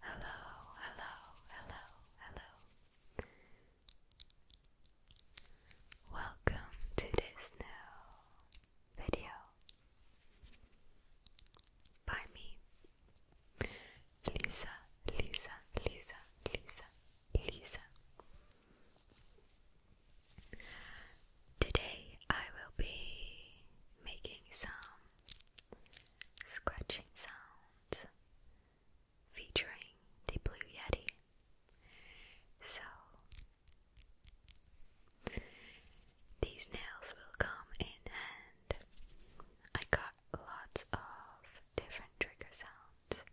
Hello, hello, hello, hello. Welcome to this new video by me, Lisa, Lisa, Lisa, Lisa, Lisa. Today I will be making some scratching sounds featuring the Blue Yeti. So, these nails will come in and I got lots of different trigger sounds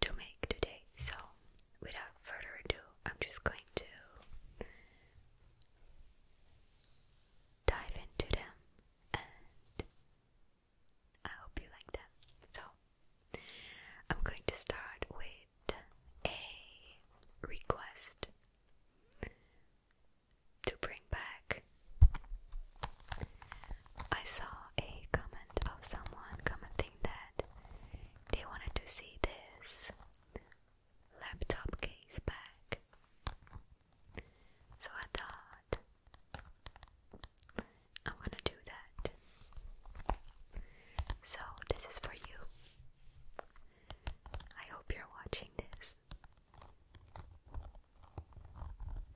to make today. So, without further ado, I'm just going to dive into them and I hope you like them. So, I'm going to start with a request to bring back I saw a comment of someone commenting that they wanted to see this laptop case back. So I thought I'm gonna do that. So, this is for you. I hope you're watching this.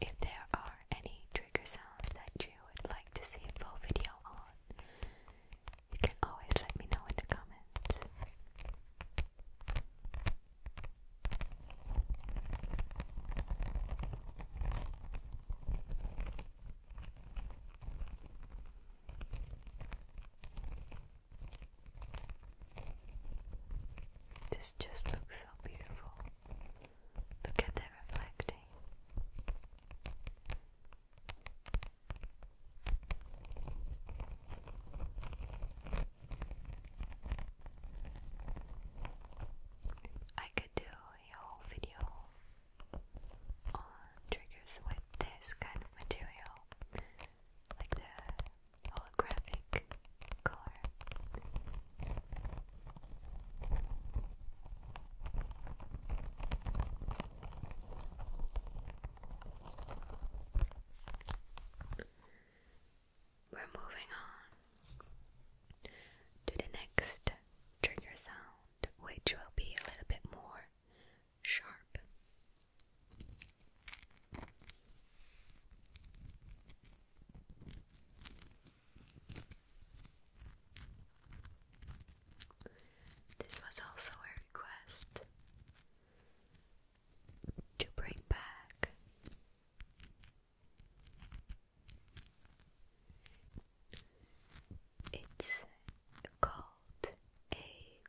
If there are any trigger sounds that you would like to see a full video on, you can always let me know in the comments. This just looks so beautiful. Look at that reflecting. I could do a whole video on triggers with this kind of material, like the holographic color. We're moving on to the next trigger sound, which will be a little bit more sharp this was also a request to bring back it's called a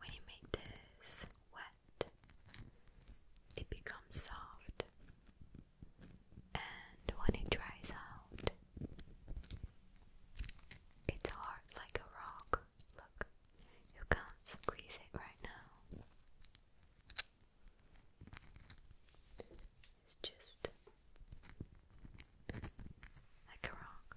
When you make this wet, it becomes soft, and when it dries out, it's hard like a rock. Look, you can't squeeze it right now. It's just like a rock.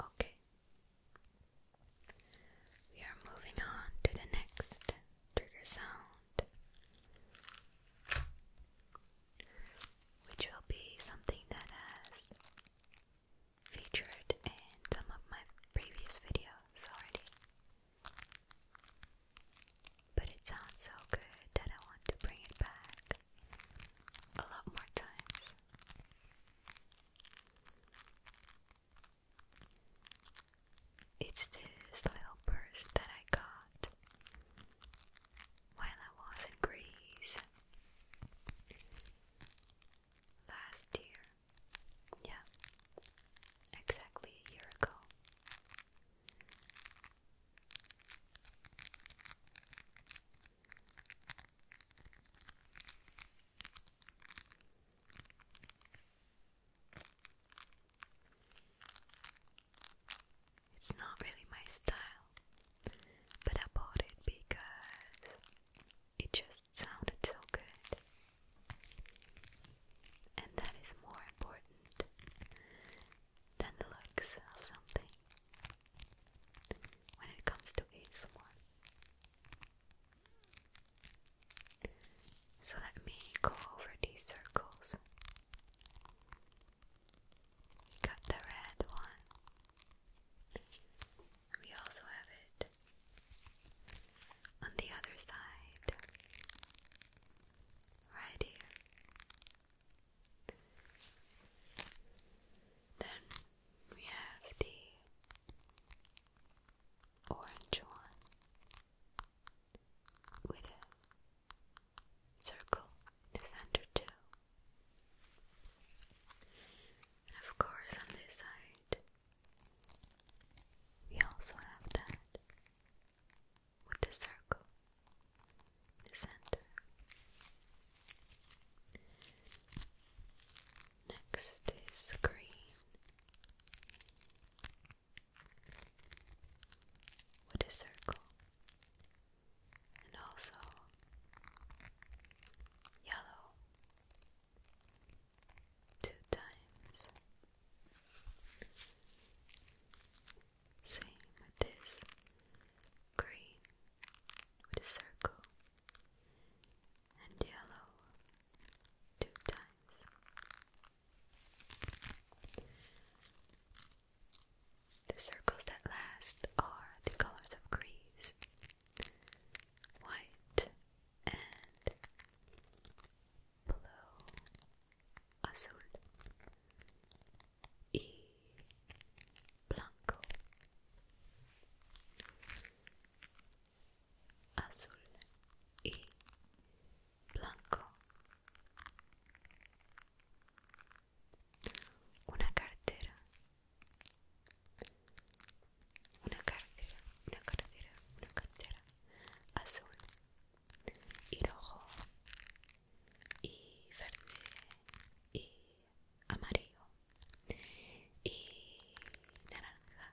Okay, we are moving on to the next trigger sound which will be something that has featured in some of my previous videos already. But it sounds so good that I want to bring it back a lot more times. It's this little purse that I got while I was in Greece last year. Yeah, exactly a year ago. It's not really my style, but I bought it because it just sounded so good. And that is more important than the looks of something when it comes to ASMR. So let me go over these circles. We got the red one. We also have it on the other side, right here. Then we have the orange one with a circle in the center too. And of course on this side we also have that with the circle in the center. Next is green with a circle and also yellow two times. Same with this green with a circle and yellow two times. The circles that last are the colors of Greece white and blue, azul, y blanco. azul y blanco una cartera una cartera una cartera una cartera azul y rojo y verde y amarillo y naranja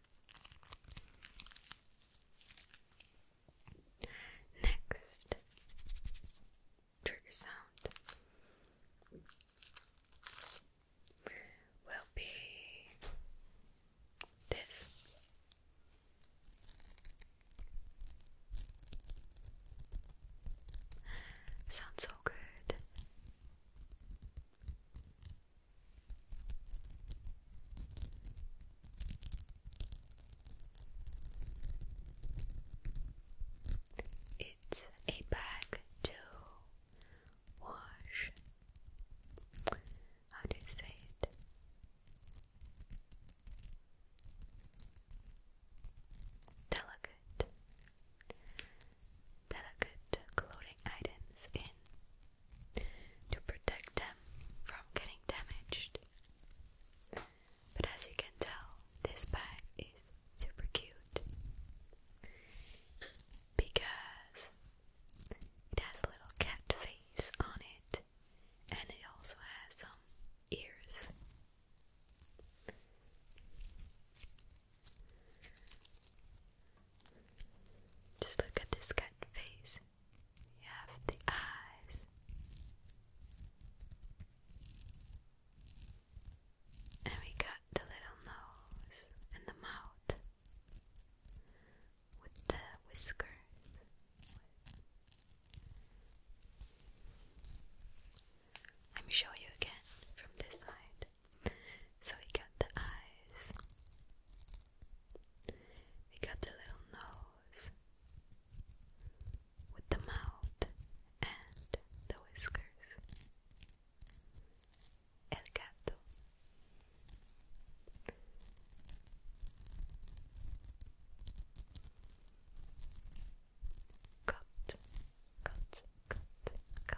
Next trigger sound will be this. Sounds so good. It's a bag to wash. How do you say it? Delicate delicate clothing items in to protect them from getting damaged. But as you can tell, this bag is super cute because it has a little cat face on it and it also has some ears. Just look at this cut face. You have the eyes. And we got the little nose and the mouth with the whiskers. Let me show you again from this side. So we got the eyes, we got the little nose with the mouth and the whiskers. El gato. Cut, cut, cut, cut.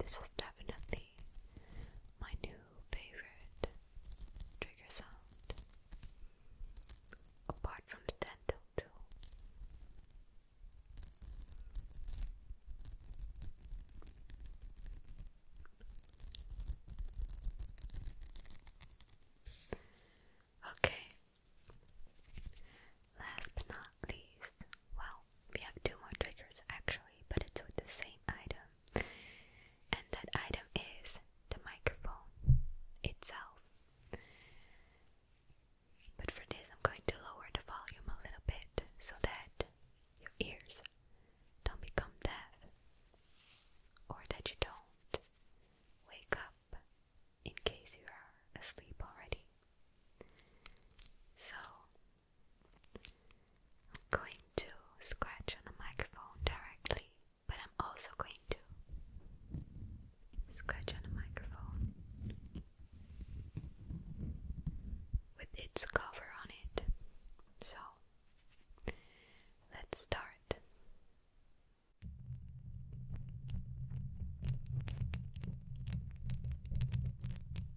This is definitely my new favorite trigger sound apart from the dental tool? Okay. Last but not least, well, we have two more triggers actually, but it's with the same item and that item is the microphone itself. But for this, I'm going to lower the volume a little bit so that your ears don't become deaf or that you don't wake up in case you are asleep already. So, I'm going to scratch on a microphone directly, but I'm also going to scratch on a microphone with its cover on it. So let's start.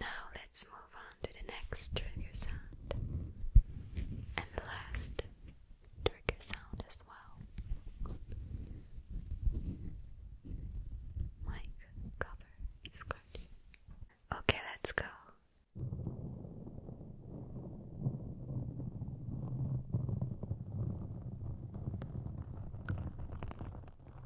Now let's move on to the next trigger sound and the last trigger sound as well. Mic cover scratching. Okay, let's go.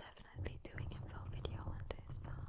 I'm definitely doing info video on this sound.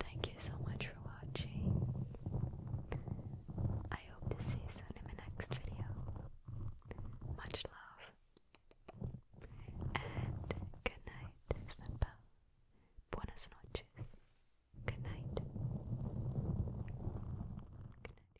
Thank you so much for watching. I hope to see you soon in my next video. Much love. And good night, Snappa. Buenas noches. Good night. Good night.